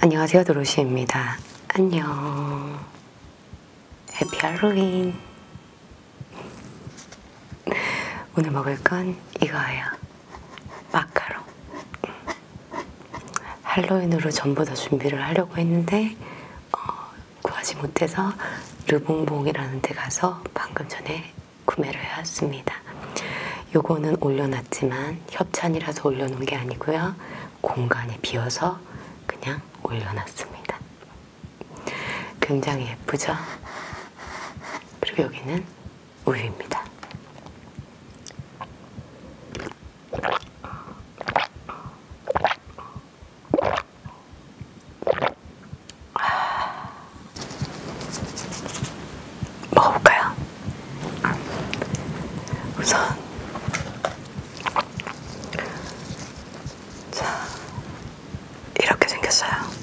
안녕하세요 도로시입니다. 안녕. 해피 할로윈. 오늘 먹을 건 이거예요. 마카롱. 할로윈으로 전부 다 준비를 하려고 했는데 어, 구하지 못해서 르봉봉이라는 데 가서 방금 전에 구매를 해왔습니다. 요거는 올려놨지만 그냥 협찬이라서 올려놓은 게 아니고요. 공간이 비어서 그냥 올려놨습니다. 굉장히 예쁘죠? 그리고 여기는 우유입니다. 아, 먹어볼까요? 우선 자 이렇게 생겼어요.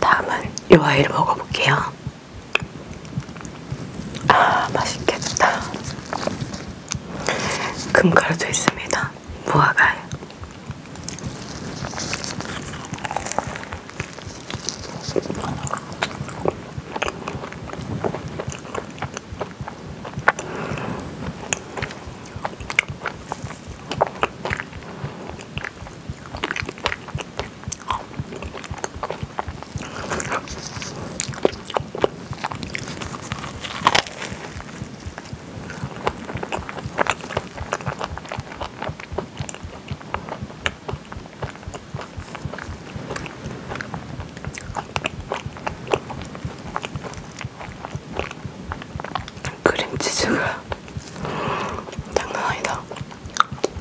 다음은 요 아이를 먹어볼게요. 아, 맛있겠다. 금가루도 있습니다. 무화과요. 크림치즈가 장난 아니다.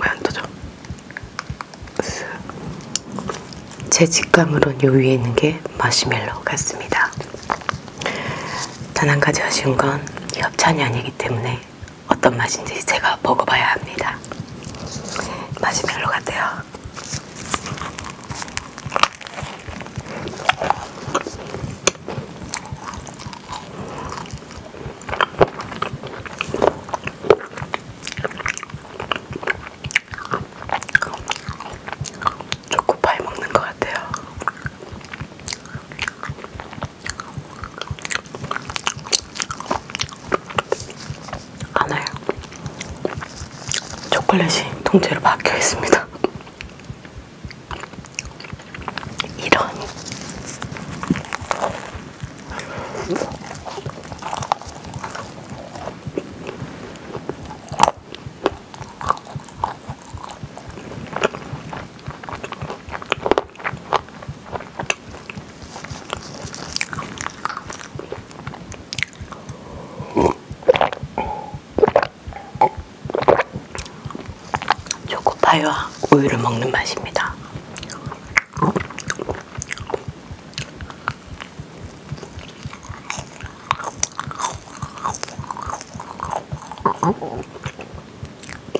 왜안 터져? 제 직감으론 요 위에 있는 게 마시멜로 같습니다. 단 한 가지 아쉬운 건 협찬이 아니기 때문에 어떤 맛인지 제가 먹어봐야 합니다. 맛이 별로 같아요. 초코파이 먹는 것 같아요. 안에 초콜릿이 통째로 박혀 있습니다. 이런. 초코파이와 우유를 먹는 맛입니다.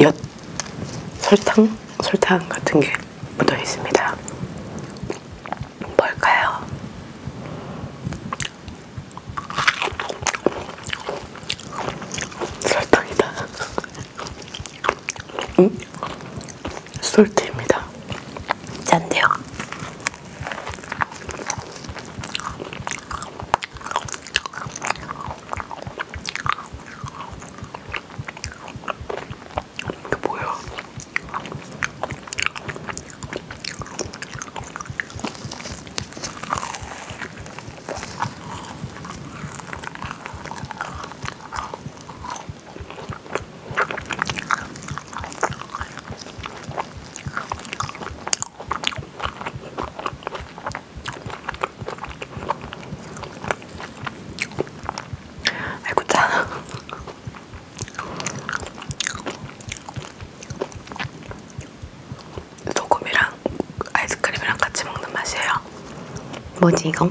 엿, 설탕, 설탕 같은 게 묻어 있습니다. 뭘까요? 설탕이다. 음? 솔트입니다. 짠데요. 이게 뭐야? 아이고 짜. 소금이랑 아이스크림이랑 같이 먹는 맛이에요. 뭐지 이거?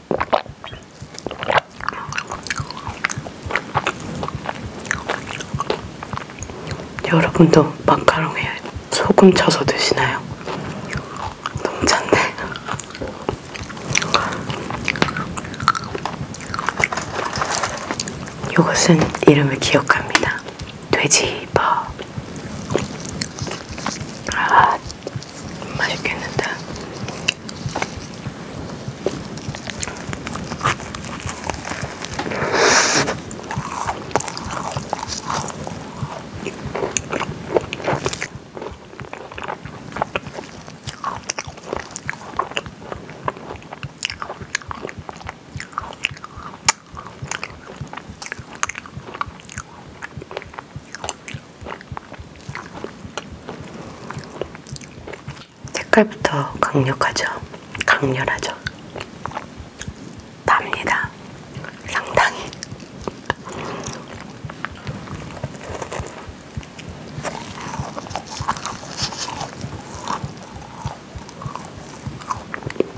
여러분도 마카롱에 소금 쳐서 드시나요? 너무 찬데? 이것은 이름을 기억합니다. 돼지버. 아, 맛있겠는데? 색깔부터 강력하죠. 강렬하죠. 답니다. 상당히.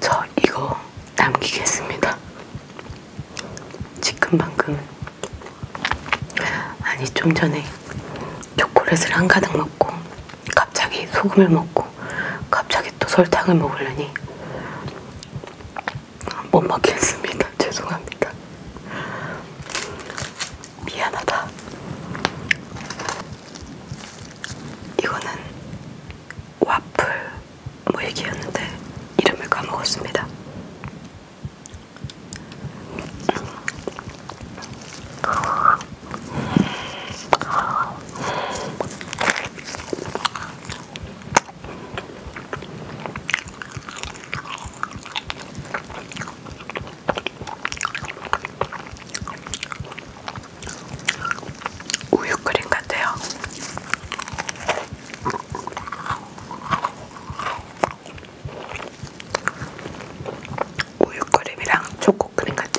저 이거 남기겠습니다. 지금 방금 아니 좀 전에 초콜릿을 한가득 먹고 갑자기 소금을 먹고 갑자기 또 설탕을 먹으려니 못 먹겠습니다. 죄송합니다. 미안하다. 이거는 와플 모이기였는데 이름을 까먹었습니다. 우유 크림 같아요. 우유 크림이랑 초코 크림 같아요.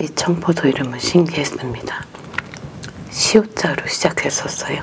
이 청포도 이름은 신기했습니다. 시옷자로 시작했었어요.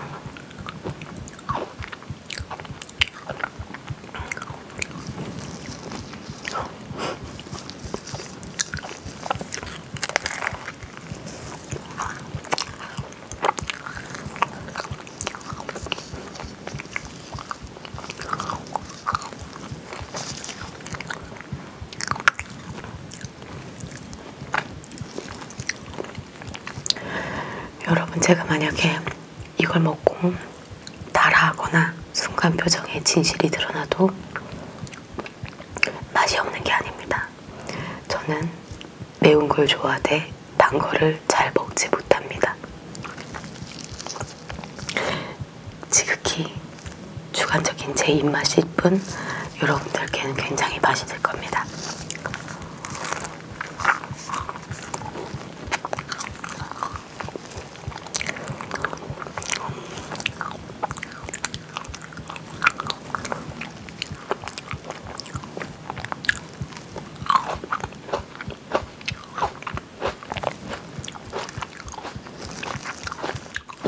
여러분 제가 만약에 이걸 먹고 달아하거나 순간 표정에 진실이 드러나도 맛이 없는 게 아닙니다. 저는 매운 걸 좋아하되 단 거를 잘 먹지 못합니다. 지극히 주관적인 제 입맛일 뿐 여러분들께는 굉장히 맛있을 겁니다.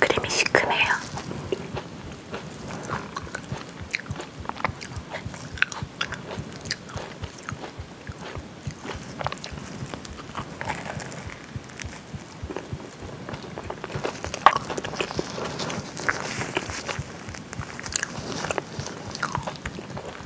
크림이 시큼해요.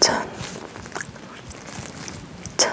천, 천,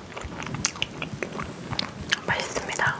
맛있습니다.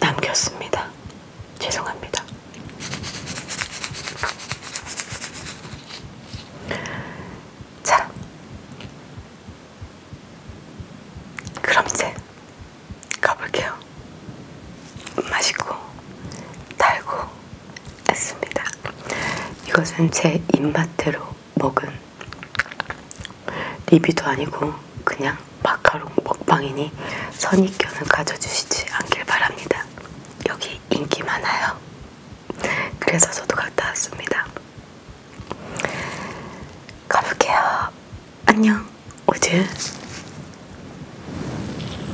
남겼습니다. 죄송합니다. 자, 그럼 이제 가볼게요. 맛있고 달고 했습니다. 이것은 제 입맛대로 먹은 리뷰도 아니고 그냥 마카롱 먹방이니 선입견은 가져주시지 않길 바랍니다. 여기 인기 많아요. 그래서 저도 갔다 왔습니다. 가볼게요. 안녕. 오즈.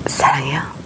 사랑해요.